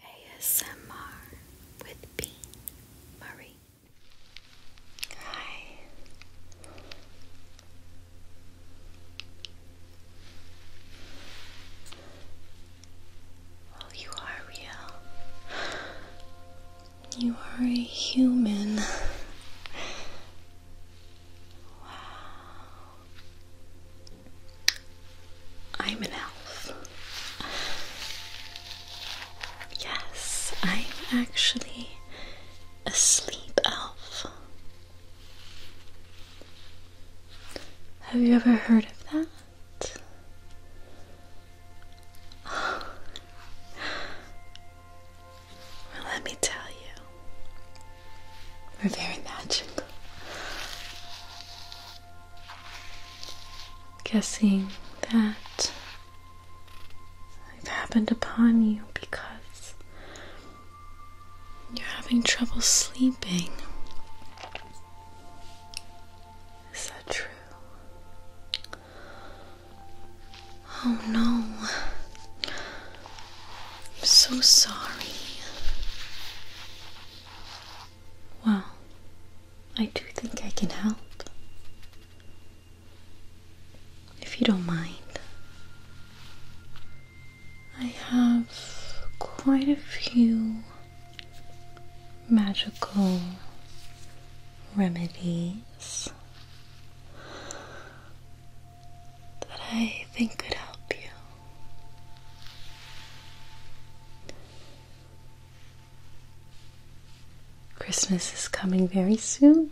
ASMR with Bean Marie. Hi. you are real. You are a human. Wow. I'm an elf. Yes, I'm actually a sleep elf. Have you ever heard of that? let me tell you, we're very magical guessing that I've happened upon you because you're having trouble sleeping. Is that true? Oh no. I'm so sorry. Well, I do think I can help. If you don't mind, I have quite a few magical remedies that I think could help you. Christmas is coming very soon.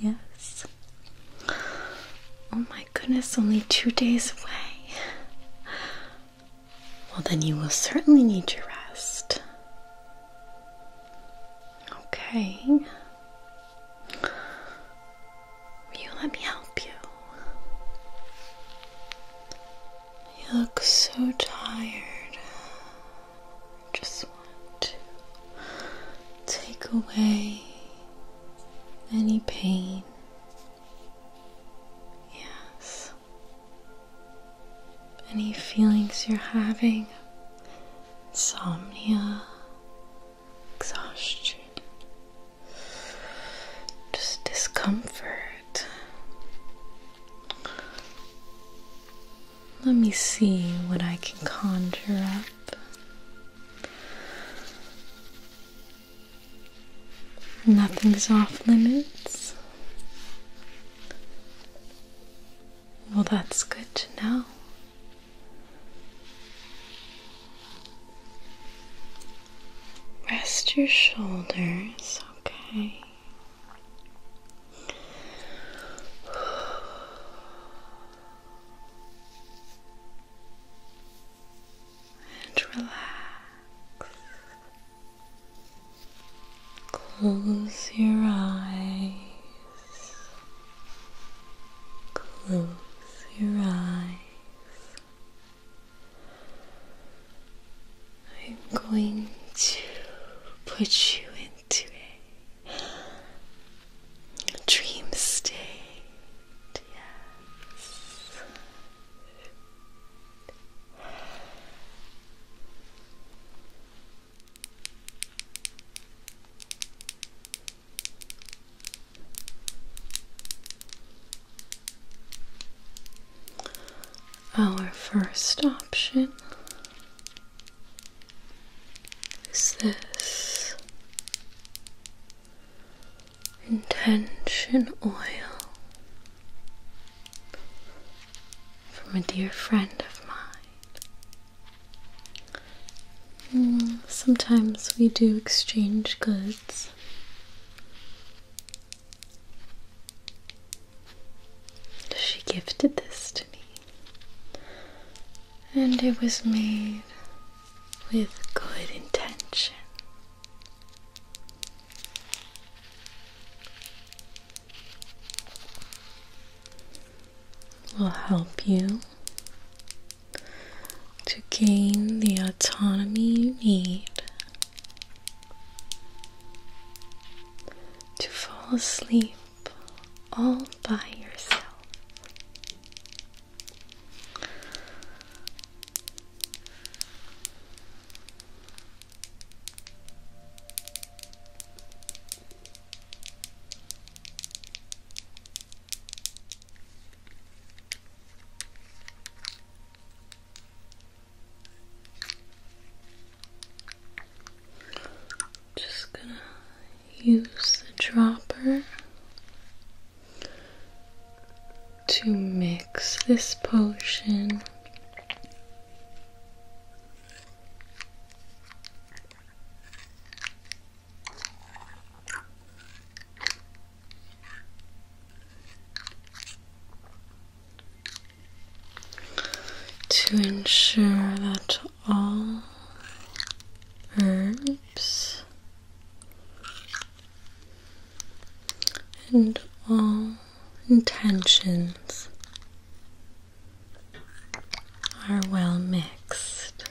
Yes. Oh my goodness, only two days away. Well, then you will certainly need your rest. Okay. Will you let me help you? You look so tired. I Just want to take away any pain. Yes. Any feelings you're having, insomnia, exhaustion just discomfort. Let me see what I can conjure up. Nothing's off limits. Well, that's good to know. Rest your shoulders, okay? And relax. Close your eyes. Close your eyes. I'm going to put you into a dream state. Yes. Our first option is this intention oil from a dear friend of mine. Mm, sometimes we do exchange goods. She gifted this to me, and it was made with good intention. Will help you to gain the autonomy you need to fall asleep all by yourself. Just gonna use the dropper to mix this potion to ensure that all herbs and all intentions are well mixed.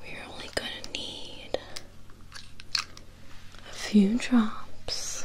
We're only going to need a few drops.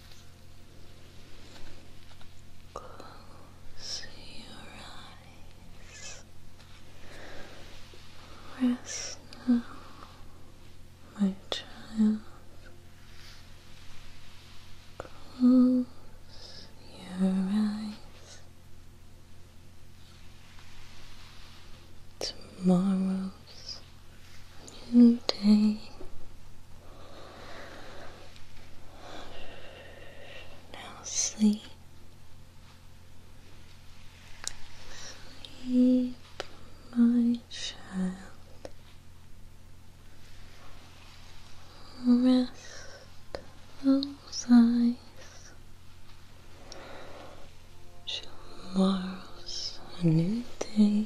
Close your eyes. Rest now, my child. Close your eyes. Tomorrow's new day. Now sleep. Sleep, my child. Rest those eyes. Tomorrow's a new day.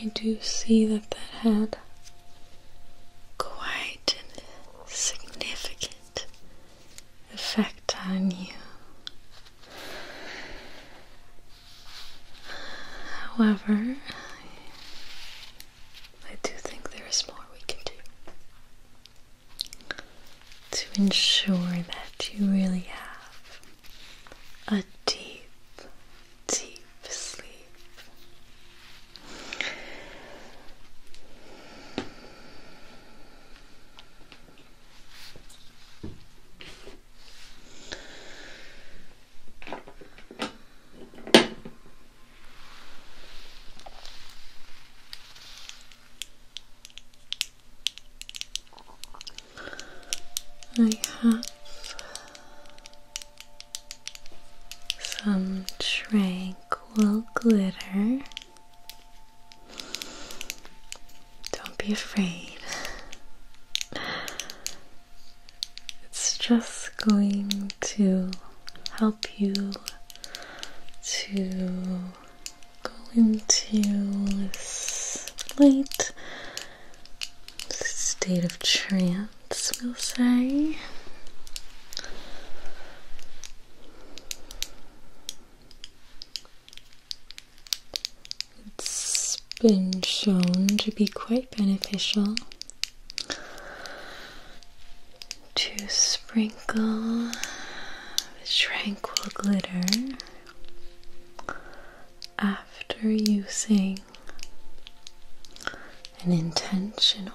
I do see that that had quite a significant effect on you. However, I do think there is more we can do to ensure that you really have a deep, deep sleep. I have some tranquil glitter. Don't be afraid. It's just going to help you to going to this light state of trance, we'll say. It's been shown to be quite beneficial to sprinkle tranquil glitter after using an intention oil.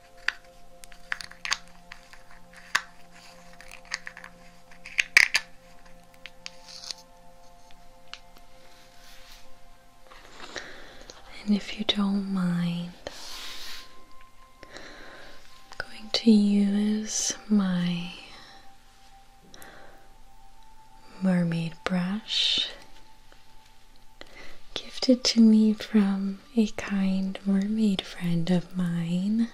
And if you don't mind, I'm going to use my mermaid brush gifted to me from a kind mermaid friend of mine.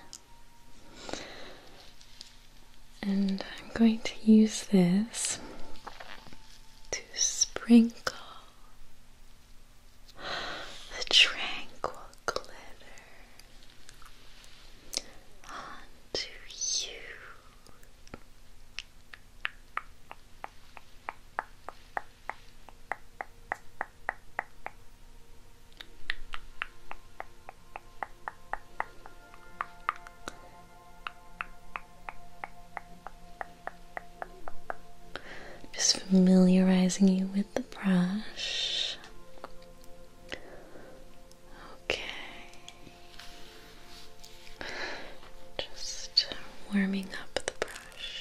And I'm going to use this to sprinkle the tranquil glitter onto you. Just familiarizing you with the brush. Okay. Just warming up the brush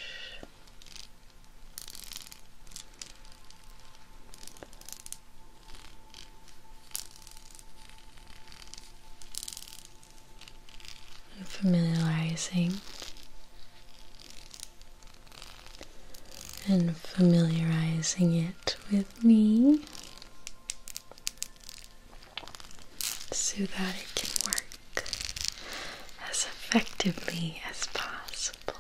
familiarizing and familiarizing it with me so that it can work as effectively as possible possible.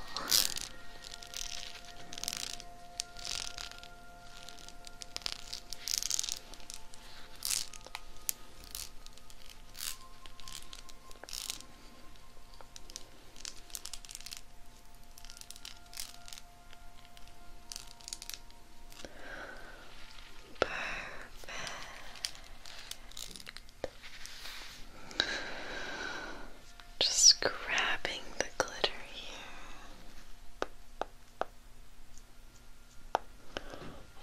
Perfect. Just grabbing the glitter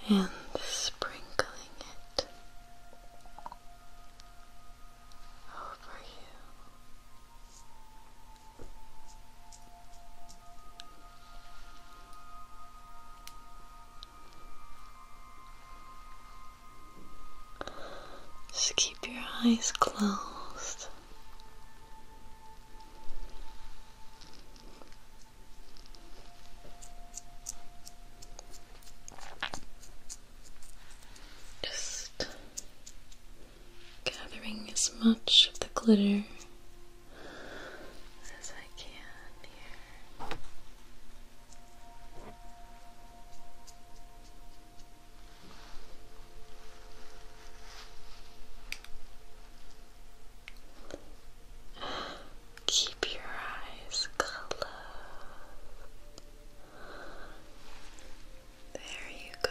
here and sprinkling it over you. Just keep your eyes closed. Just gathering as much of the glitter as I can here. Keep your eyes closed. There you go.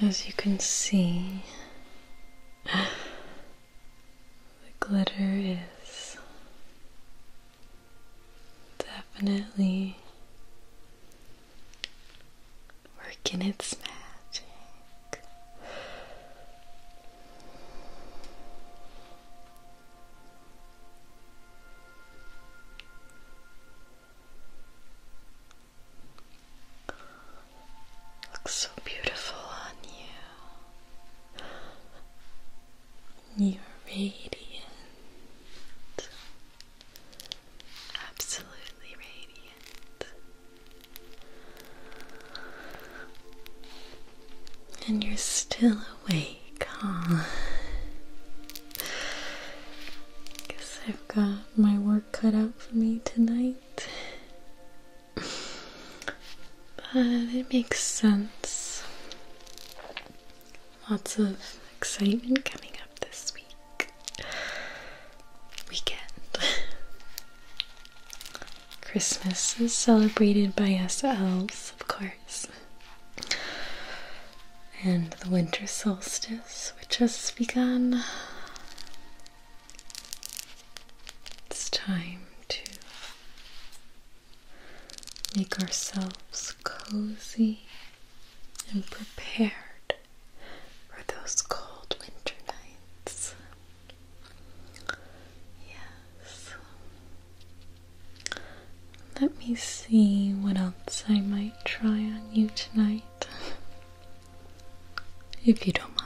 As you can see, the glitter is definitely working its magic. Looks so beautiful on you. You're radiant, absolutely radiant, and you're still awake, huh? Guess I've got my work cut out for me tonight but it makes sense. Lots of excitement coming up this week. Weekend. Christmas is celebrated by us elves, of course. And the winter solstice, which has begun it's time to make ourselves cozy and prepared for those cold winter nights. Yes. Let me see what else I might try on you tonight. if you don't mind.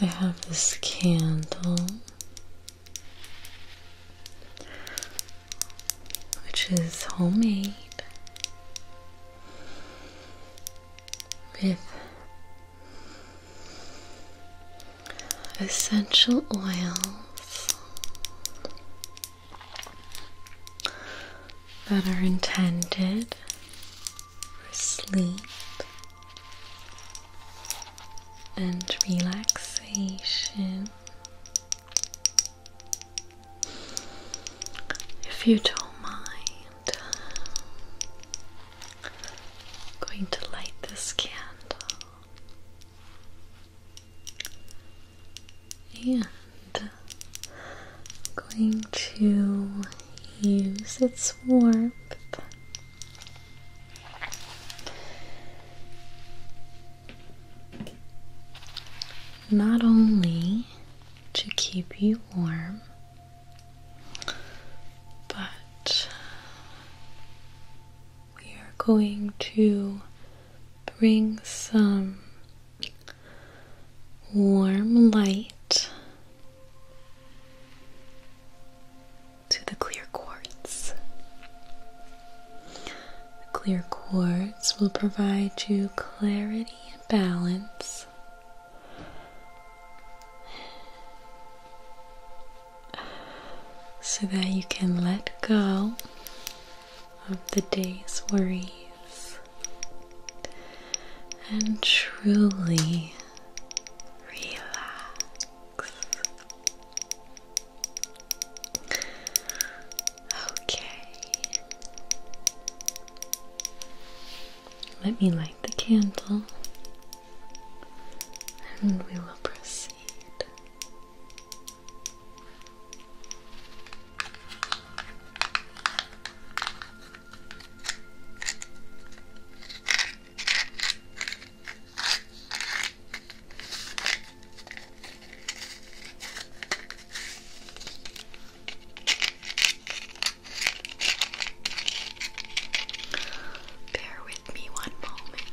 I have this candle, which is homemade with essential oils that are intended for sleep and relaxation if you don't mind, I'm going to light this candle and I'm going to use its warmth not only to keep you warm, but we are going to bring some warm light to the clear quartz. The clear quartz will provide you clarity and balance. So that you can let go of the day's worries and truly relax. Okay. Let me light the candle and we will proceed. Bear with me one moment.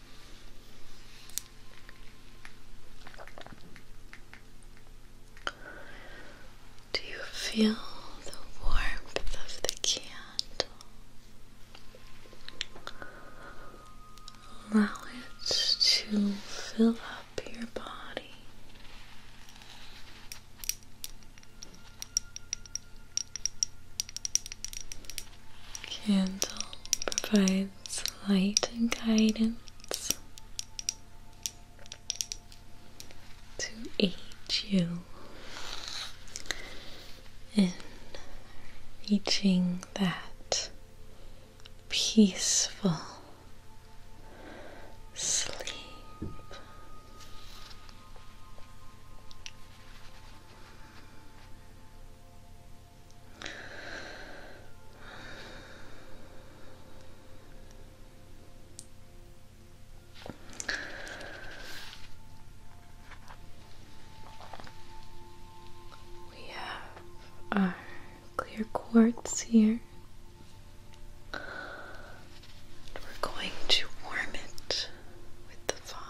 Do you feel the warmth of the candle? Allow it to fill up your body. Candle provides light and guidance to aid you in reaching that peaceful sleep. We have our clear quartz here. And we're going to warm it with the fire.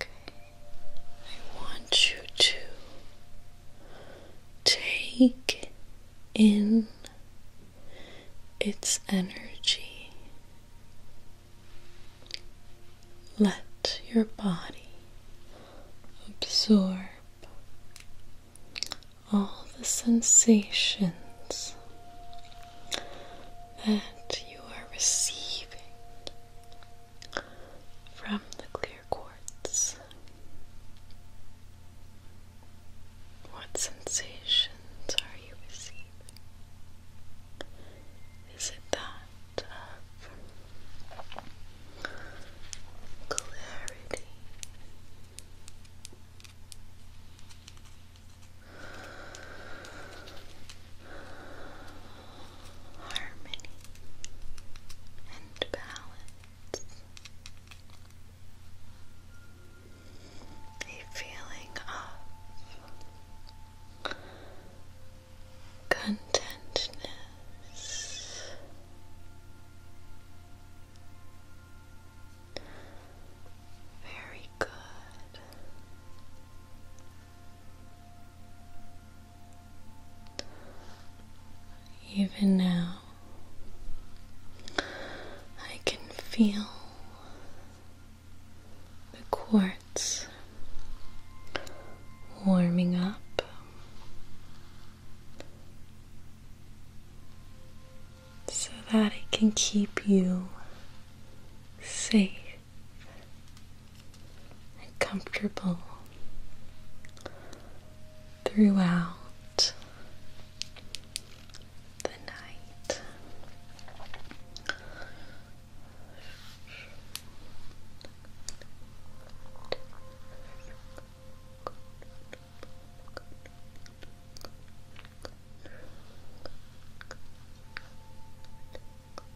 I want you to take in its energy. Let your body absorb all the sensations that you are receiving from the clear quartz. What sensations are you receiving? Is it that clarity? harmony and balance. A feeling of contentness. Very good. Even now, I can feel the quartz warming up. So that it can keep you safe and comfortable throughout the night.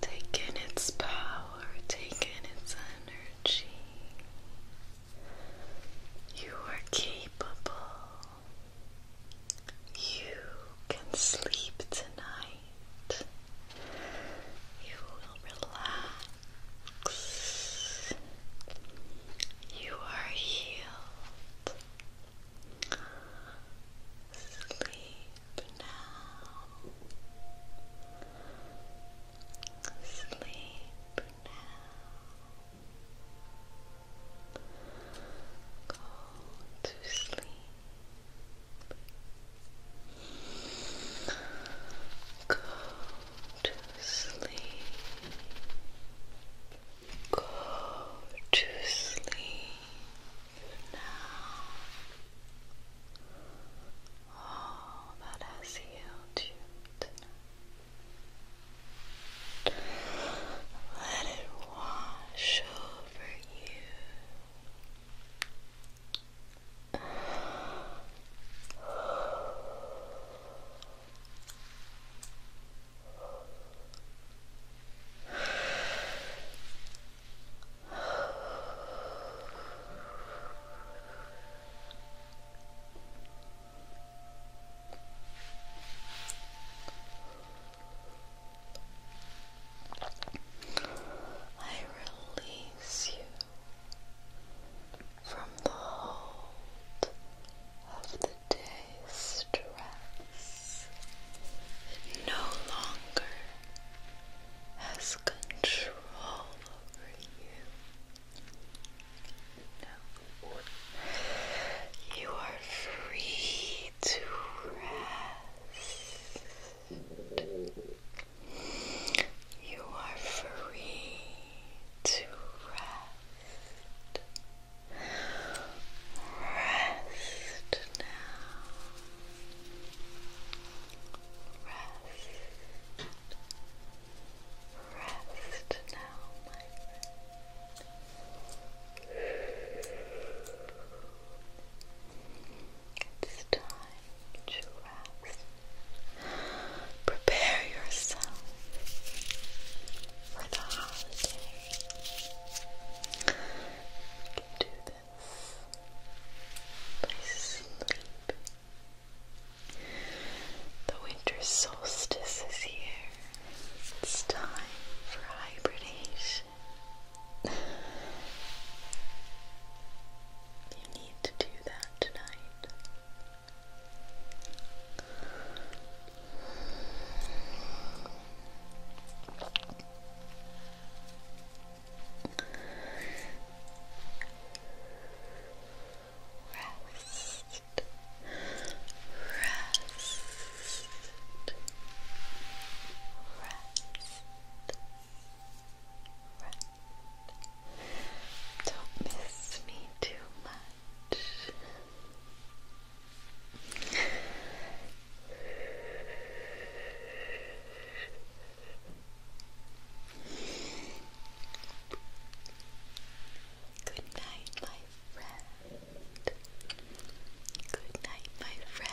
Take in its power, take in its energy. You are capable. You can sleep tonight. You will relax. You are healed. Sleep now. Sleep now. Go to sleep. Go to sleep. Go to sleep now. Oh, that has healed you Let it wash over you. I release you from the hold of the day's stress. It no longer has control over you. No. You are free to rest. You are free to rest. Rest now. Rest. Rest now, my friend. It's time to rest. Prepare yourself for the holiday. You can do this by sleeping. The winter solstice is here. It's time for hibernation. You need to do that tonight. Rest, rest, rest. Rest, don't miss me too much. Good night, my friend. Good night, my friend.